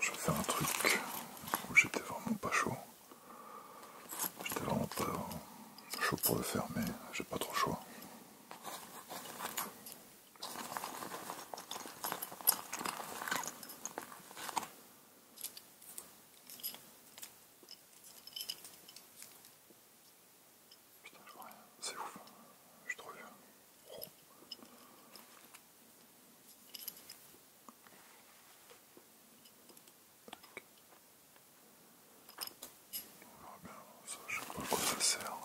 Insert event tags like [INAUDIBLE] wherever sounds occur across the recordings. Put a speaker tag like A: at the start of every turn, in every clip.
A: je vais faire un truc où j'étais vraiment pas chaud. J'étais vraiment pas chaud pour le faire, mais j'ai pas trop chaud. Putain, je vois rien. C'est ouf. Je suis trop vieux. ça, je sais pas à quoi ça sert.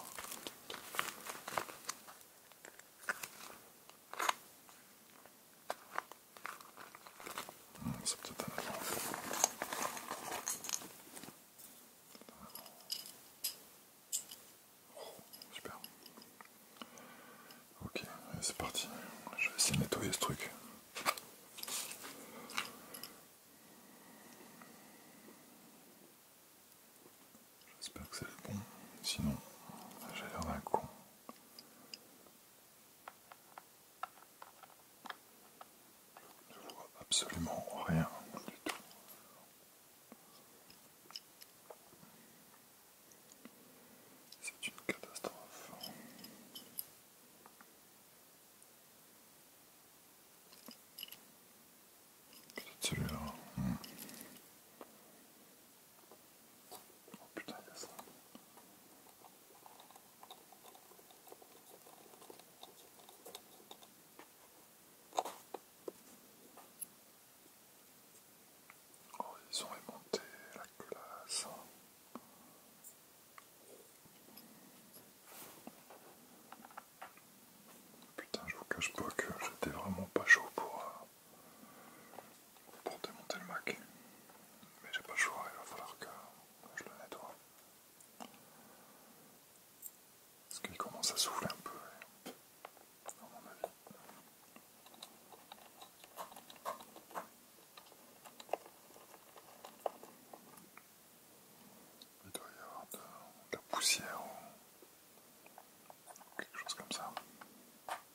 A: C'est oh, Ok, c'est parti. Je vais essayer de nettoyer ce truc. J'espère que c'est bon, sinon j'ai l'air d'un con. Je vois absolument rien du tout. C'est une catastrophe. Peut-être celui-là. Hmm. Oh putain, ça Oh, ils ont aimanté la classe. Hein. Putain, je vous cache pas que j'étais vraiment pas chaud pour, euh, pour démonter le Mac. Mais j'ai pas le choix, il va falloir que je le nettoie. Parce qu'il commence à souffler un peu, à mon avis. Il doit y avoir de, la poussière ou quelque chose comme ça.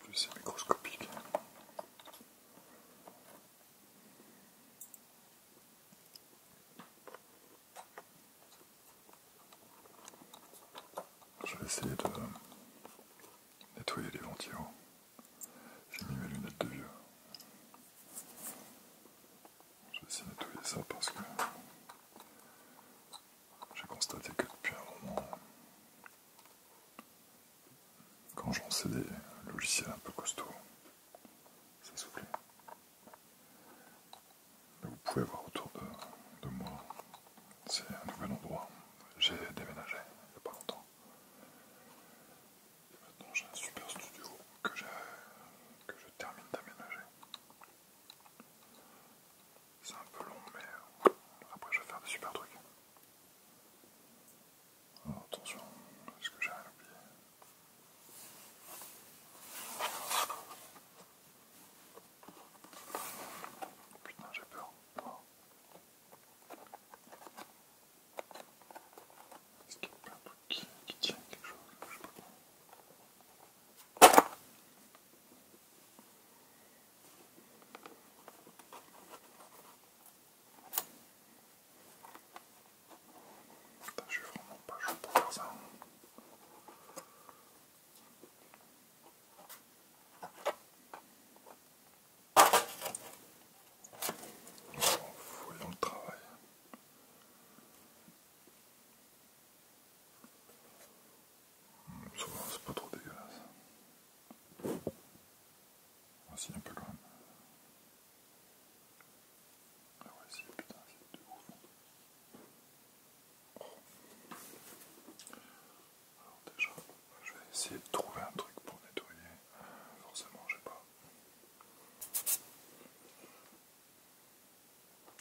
A: plus c'est microscopique. Je vais essayer de nettoyer les ventils. J'ai mis mes lunettes de vieux. Je vais essayer de nettoyer ça parce que j'ai constaté que depuis un moment, quand j'en sais des logiciels un peu costauds, ça Mais Vous pouvez voir autour de, moi, c'est un nouvel endroit. J'ai déménagé il n'y a pas longtemps. Et maintenant j'ai un super studio que je termine d'aménager. C'est un peu long, mais euh, après je vais faire des super trucs. Oh, attention, est-ce que j'ai rien oublié oh, Putain, j'ai peur. Oh. Est-ce qu'il y a plein de qui, qui tiennent quelque chose je ne suis vraiment pas chaud pour faire ça. Nous s'en fout dans le travail. C'est pas trop dégueulasse. Voici ah, un peu loin Ah ouais, putain, c'est de ouf. Alors déjà, je vais essayer de trouver un truc pour nettoyer. Forcément, j'ai pas.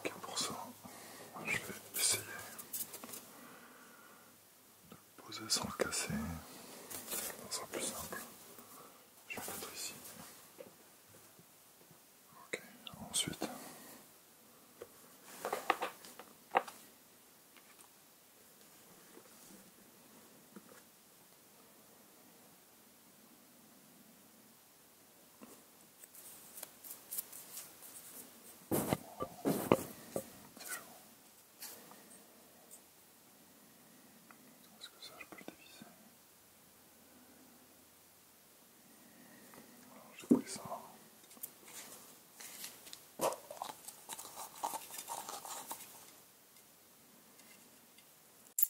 A: Ok pour ça, je vais essayer de le poser sans le casser, ça sera plus simple. Je vais le mettre ici. Ok, ensuite. Est-ce que ça je peux le dévisser Alors j'ai pris ça.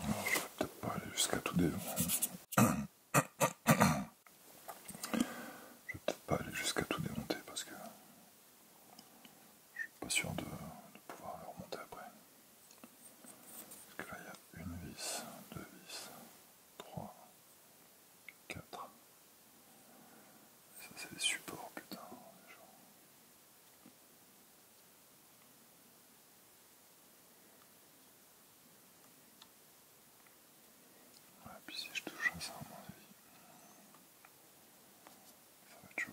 A: Alors, je vais peut-être pas aller jusqu'à tout début. [CLEARS THROAT] Je vais peut-être pas aller jusqu'à tout démonter parce que je suis pas sûr de, pouvoir le remonter après. Parce que là, il y a une vis, deux vis, trois, quatre. ça, c'est les supports, putain. Ouais, puis si je touche à ça, à mon avis, ça va être chaud.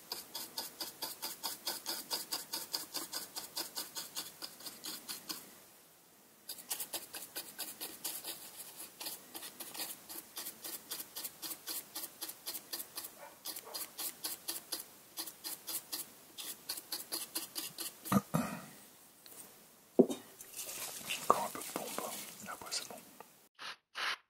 B: Encore un peu de pompe, après c'est bon.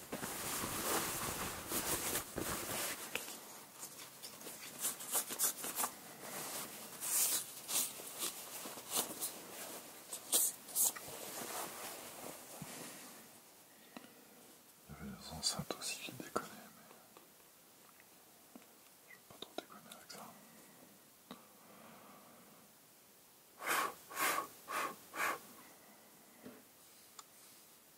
B: Il
A: y avait des enceintes aussi qui déconnaient, mais je ne vais pas trop déconner avec ça.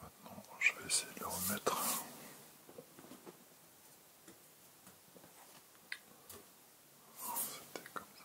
A: Maintenant, je vais essayer de le remettre. C'était comme ça.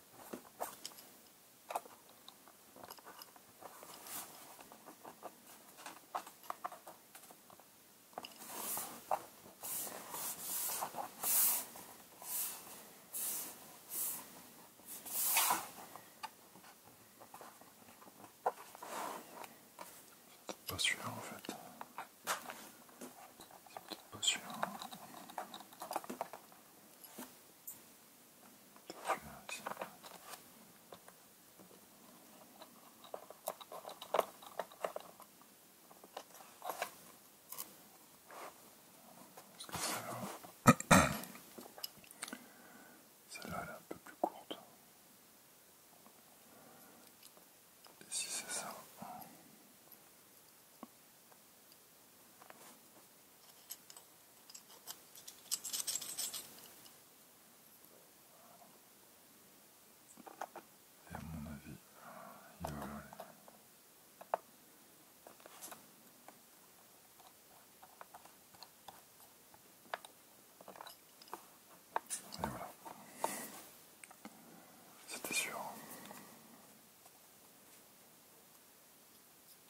A: Pas sûr en fait. pas sûr celle-là, celle-là elle est un peu plus courte. Et si c'est ça, et à mon avis, il va voler. Et voilà. C'était sûr que celle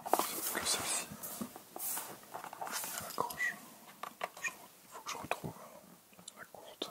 A: La croche. Il faut que je retrouve la courte.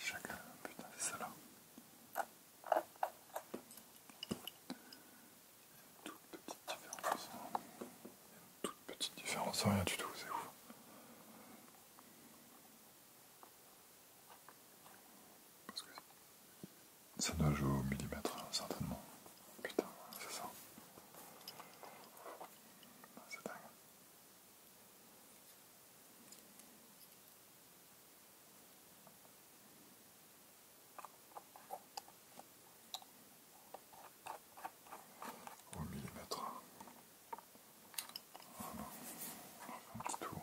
A: Chacun, putain, c'est ça une toute petite différence. Une toute petite différence, rien du tout, c'est ouf. Parce que ça doit jouer au millimètre, hein, certainement. Putain, c'est ça. C'est dingue au On un petit tour.